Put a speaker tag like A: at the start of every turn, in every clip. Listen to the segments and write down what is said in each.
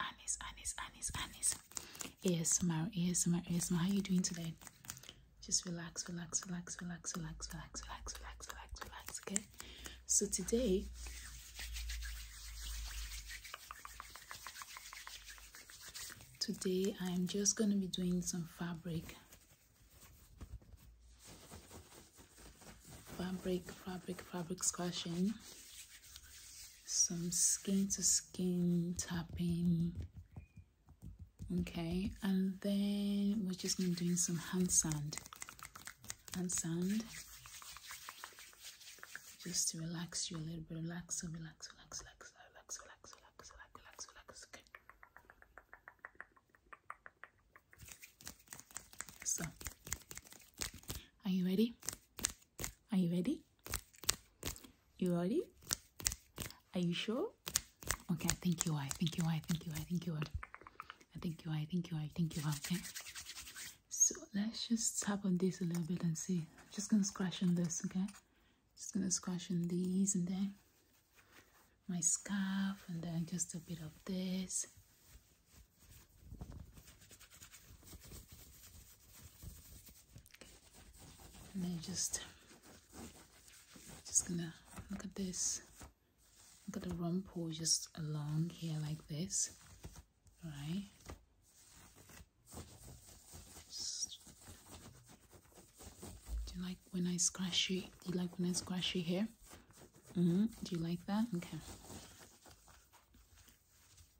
A: Anis, Anis, Anis, Anis. ASMR, ASMR, ASMR. How are you doing today? Just relax, relax, relax, relax, relax, relax, relax, relax, relax, relax. Okay. So today, today I'm just gonna be doing some fabric, fabric, fabric, fabric squashing some skin to skin tapping okay and then we're just going to doing some hand sand hand sand just to relax you a little bit relax relax relax relax relax relax relax relax relax okay so are you ready are you ready you ready? Are you sure? Okay, thank you. I thank you. I thank you. I thank you. I thank you. I thank you. I thank you. I thank you. Okay. So let's just tap on this a little bit and see. just gonna scratch on this, okay? Just gonna scratch on these and then my scarf and then just a bit of this and then just just gonna look at this look at the rumple just along here like this All right do you like when I scratch you do you like when I scratch you here mm-hmm. do you like that okay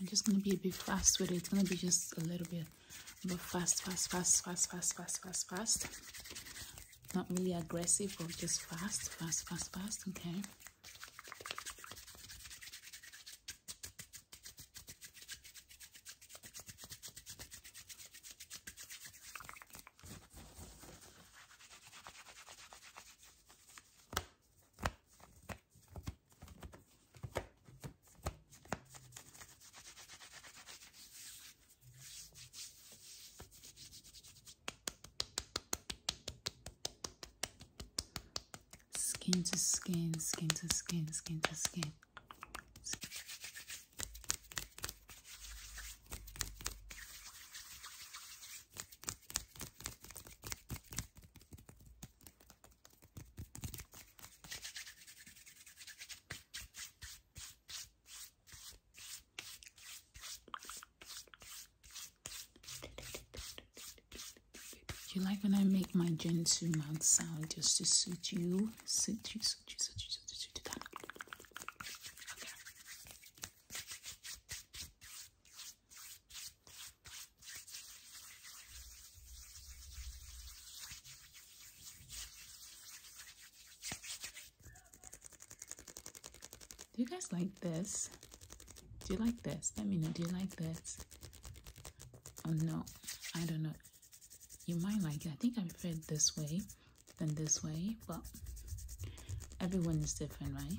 A: I'm just going to be a bit fast with it. It's going to be just a little bit but fast, fast, fast, fast, fast, fast, fast, fast. Not really aggressive, but just fast, fast, fast, fast. Okay. Skin to skin, skin to skin, skin to skin. Do You like when I make my gentle mouth sound just to suit you? Suit you, suit you, suit you, suit you, suit you. Okay. Do you guys like this? Do you like this? Let me know. Do you like this? Oh no, I don't know. You might like it. I think I prefer this way than this way. But everyone is different, right?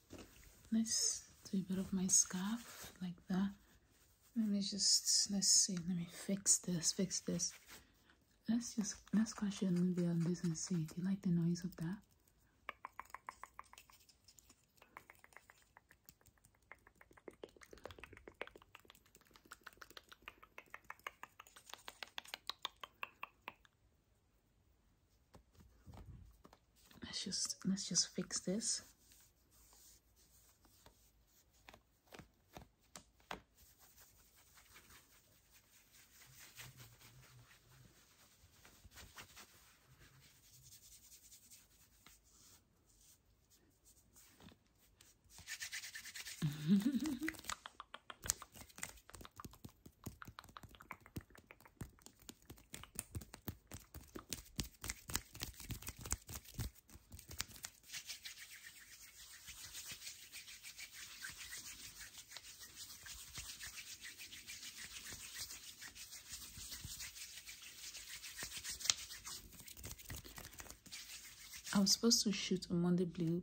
A: Let's do a bit of my scarf like that. Let me just, let's see, let me fix this, fix this. Let's just, let's crash it a little bit on this and see. Do you like the noise of that? let's just let's just fix this I was supposed to shoot a Monday blue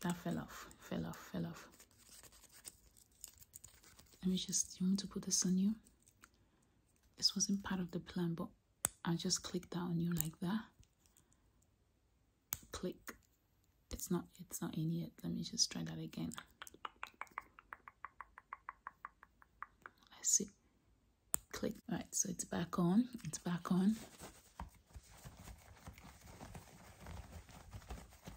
A: that fell off fell off fell off let me just you want to put this on you this wasn't part of the plan but i just clicked that on you like that click it's not it's not in yet let me just try that again let's see click Right. so it's back on it's back on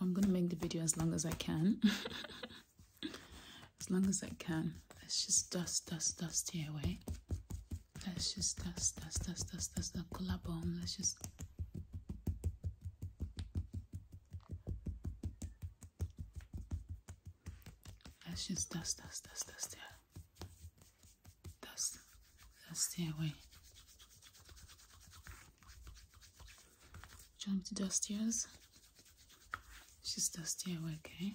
A: I'm gonna make the video as long as I can. as long as I can. Let's just dust, dust, dust here away. Let's just dust, dust, dust, dust, dust the color bomb. Let's just. Let's just dust, dust, dust, dust here. That's that's the way. Jump to the stairs. She's the stairway, okay?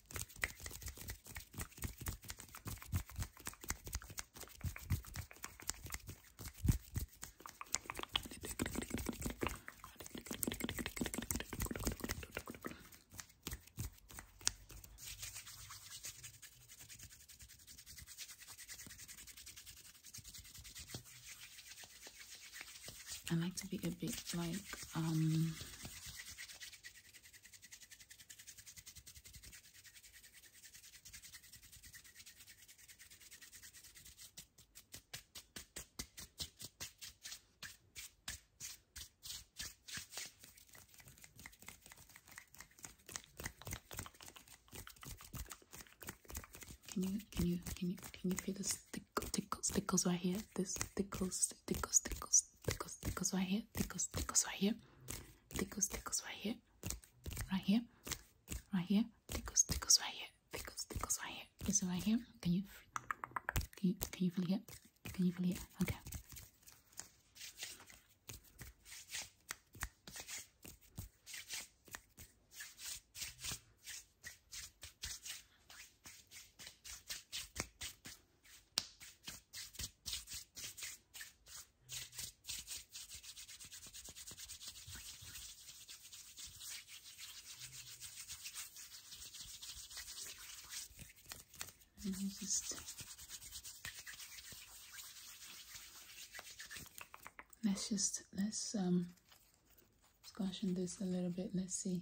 A: I like to be a bit like um, can you can you can you can you feel the tickles tickles tickles right here? This tickles tickles tickles tickles, tickles right here, tickles, tickles right here, tickles, tickles right here, right here, right here, tickles, tickles right here, tickles, tickles right here. Is it right here? Can you, can you, can you feel it? Can you feel it? Okay. And i just let's just let's um squash this a little bit. Let's see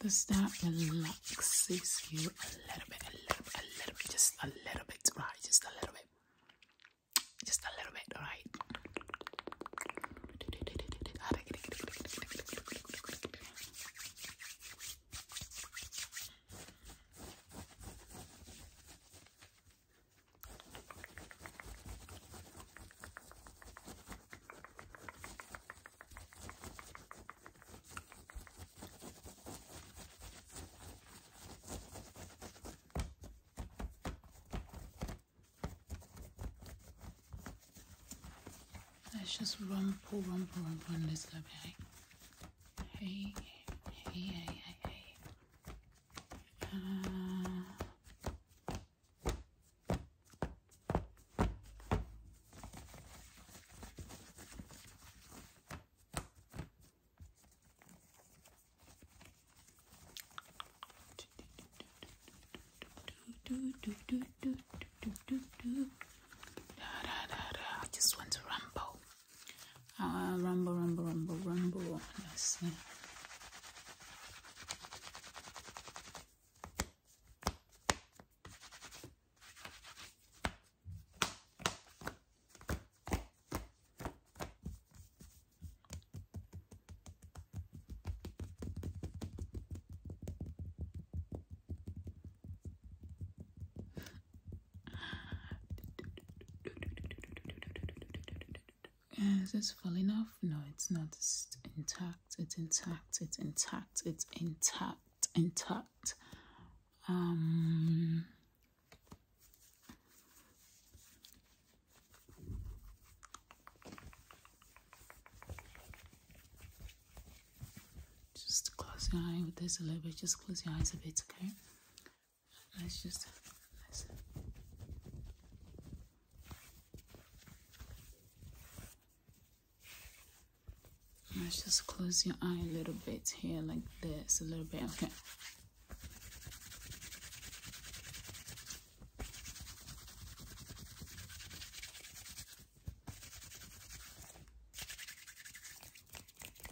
A: Does that relaxes you a little bit, a little a little bit, just a little bit, right? Just a little bit, just a little bit, right? Let's just rumple, rumple, rumple in this lobby. Hey, hey, hey, hey, hey. I just want to ramble. Ah, rumble, rumble, rumble, rumble. Let's see. is this full enough? No, it's not. It's intact. It's intact. It's intact. It's intact. Intact. Um. Just close your eye with this a little bit. Just close your eyes a bit, okay? Let's just let's, just close your eye a little bit here, like this, a little bit. Okay.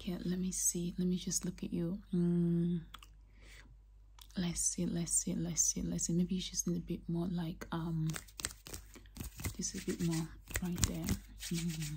A: Yeah, let me see. Let me just look at you. Mm. Let's see, let's see, let's see, let's see. Maybe you just need a bit more like um just a bit more right there. Mm.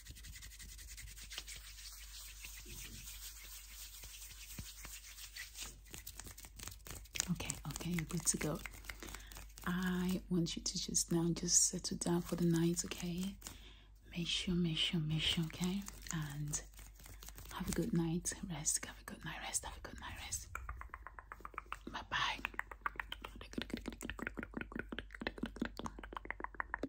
A: Okay, okay, you're good to go. I want you to just now just settle down for the night, okay? Make sure, make sure, make sure, okay? And have a good night, rest, have a good night, rest, have a good night, rest. Bye bye.